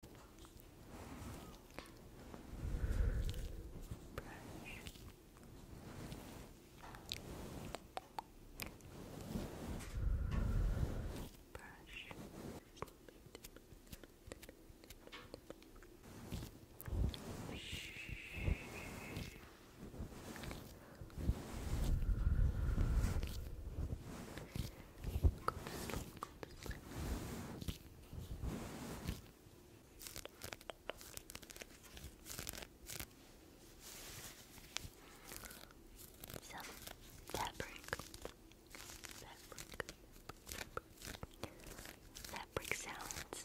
Go to sleep, go some fabric, fabric, fabric sounds.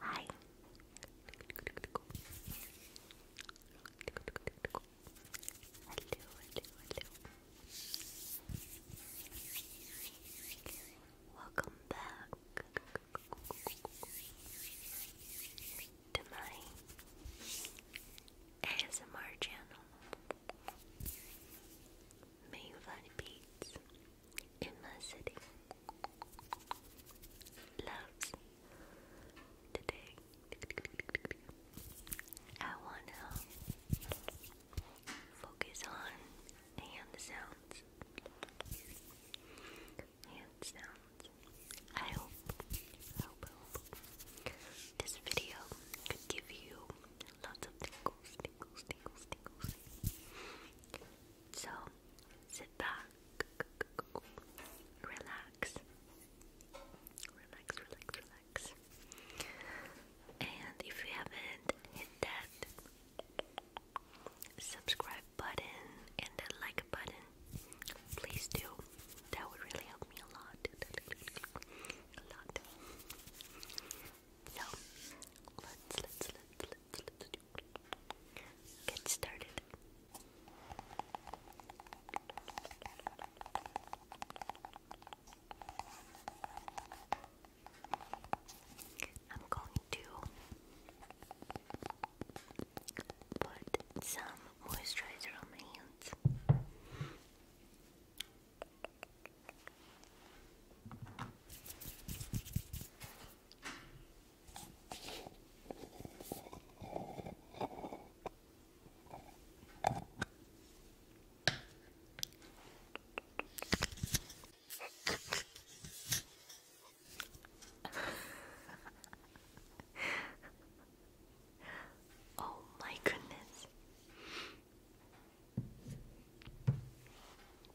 Hi. Hello, hello, Welcome back to my ASMR channel. Mayfly Beats in my city loves today. I want to focus on hand sounds. I hope this video could give you lots of tingles, tingles, tingles, tingles. So sit back, relax, relax, relax, relax. And if you haven't hit that subscribe button and the like button please do. That would really help me a lot. So let's let's let's let's let's do get started. I'm going to Put some moisturizer on my hands. oh my goodness.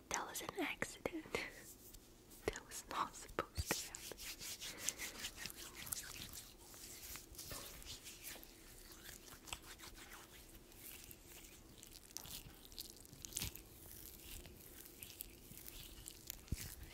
That was an accident. that was not supposed to happen.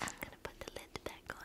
I'm gonna put the lid back on.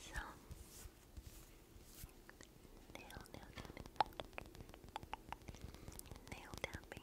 So nail nail tapping. Nail tapping.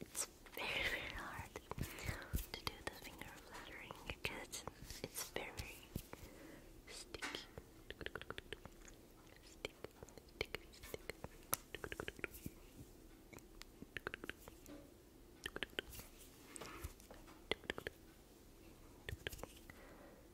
It's very very hard to do the finger flattering because it's very sticky.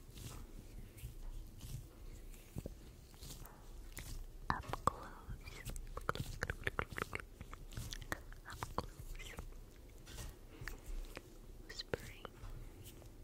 Up close. Up close. Up close. Whispering. Sleep.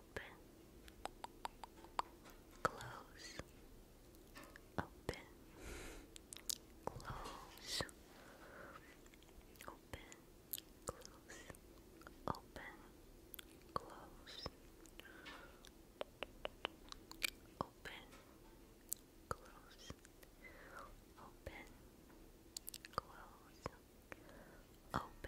open, close, open, close, open, close, open, close, open, close, open, close, open, close. Open,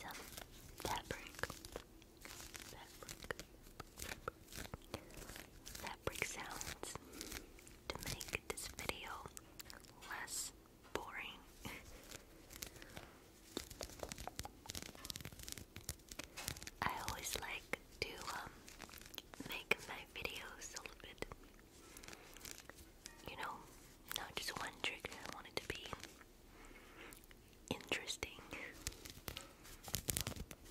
Some fabric, fabric, fabric, fabric sounds to make this video less boring. I always like to um, make my videos a little bit, you know, not just one trick. I want it to be interesting.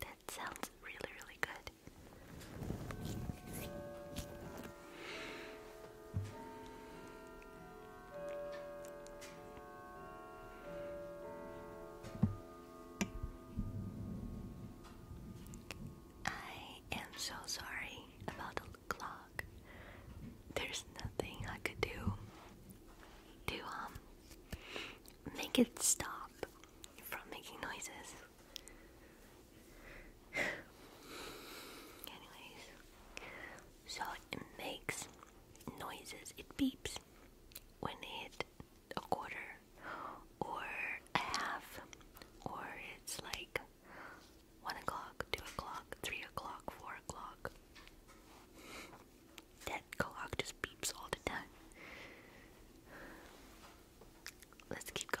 That sounds really, really good. I am so sorry about the clock. There's nothing I could do to um make it stop from making noises. Anyways, so it makes noises. It beeps when it a quarter or a half or it's like one o'clock, two o'clock, three o'clock, four o'clock. That clock just beeps all the time. Let's keep going.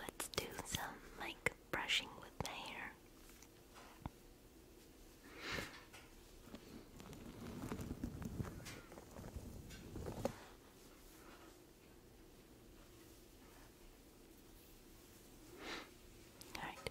Let's do some mic brushing with my hair. All right.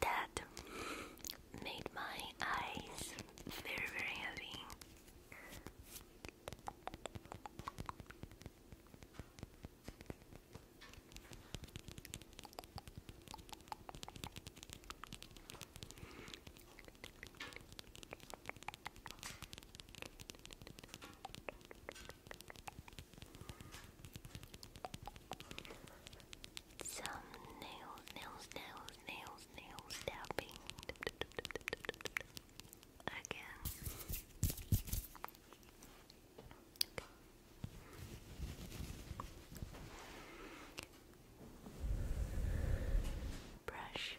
That made my eyes very, very heavy. Some nails, nails, nails, nails, nails tapping again. Brush.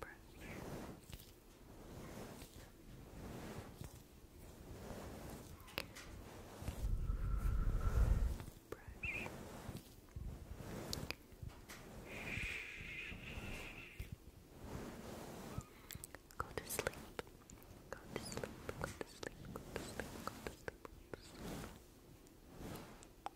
brush. Brush. Go to sleep. Go to sleep. Go to sleep. Go to sleep. Go to sleep.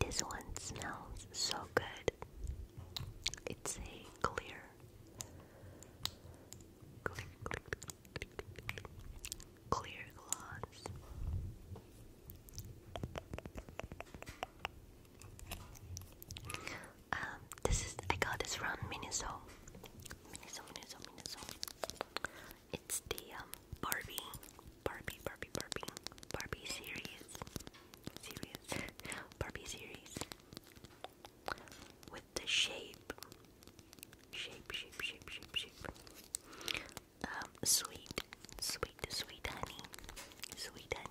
This one smells so good. It's a clear, clear, gloss. Um, this is I got this from Miniso. Miniso, Miniso, Miniso. It's the um Barbie, Barbie, Barbie, Barbie, Barbie series, series, Barbie series with the shape, shape, shape, shape, shape, Um, sweet, sweet, sweet honey, sweet honey.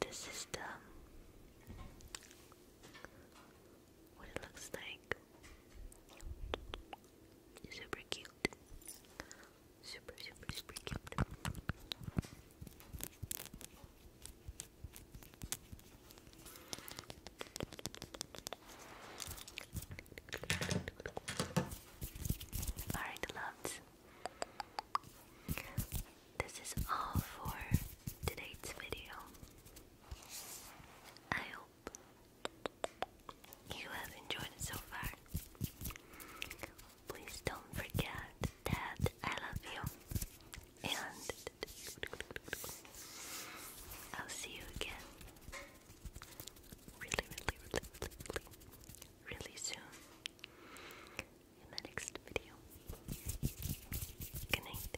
This is the what it looks like. Super cute. Super, super, super cute. Alright, loves. This is all for today's video. I hope you have enjoyed it so far. Please don't forget that I love you, and I'll see you again really, really, really, really, really soon in the next video. Good night.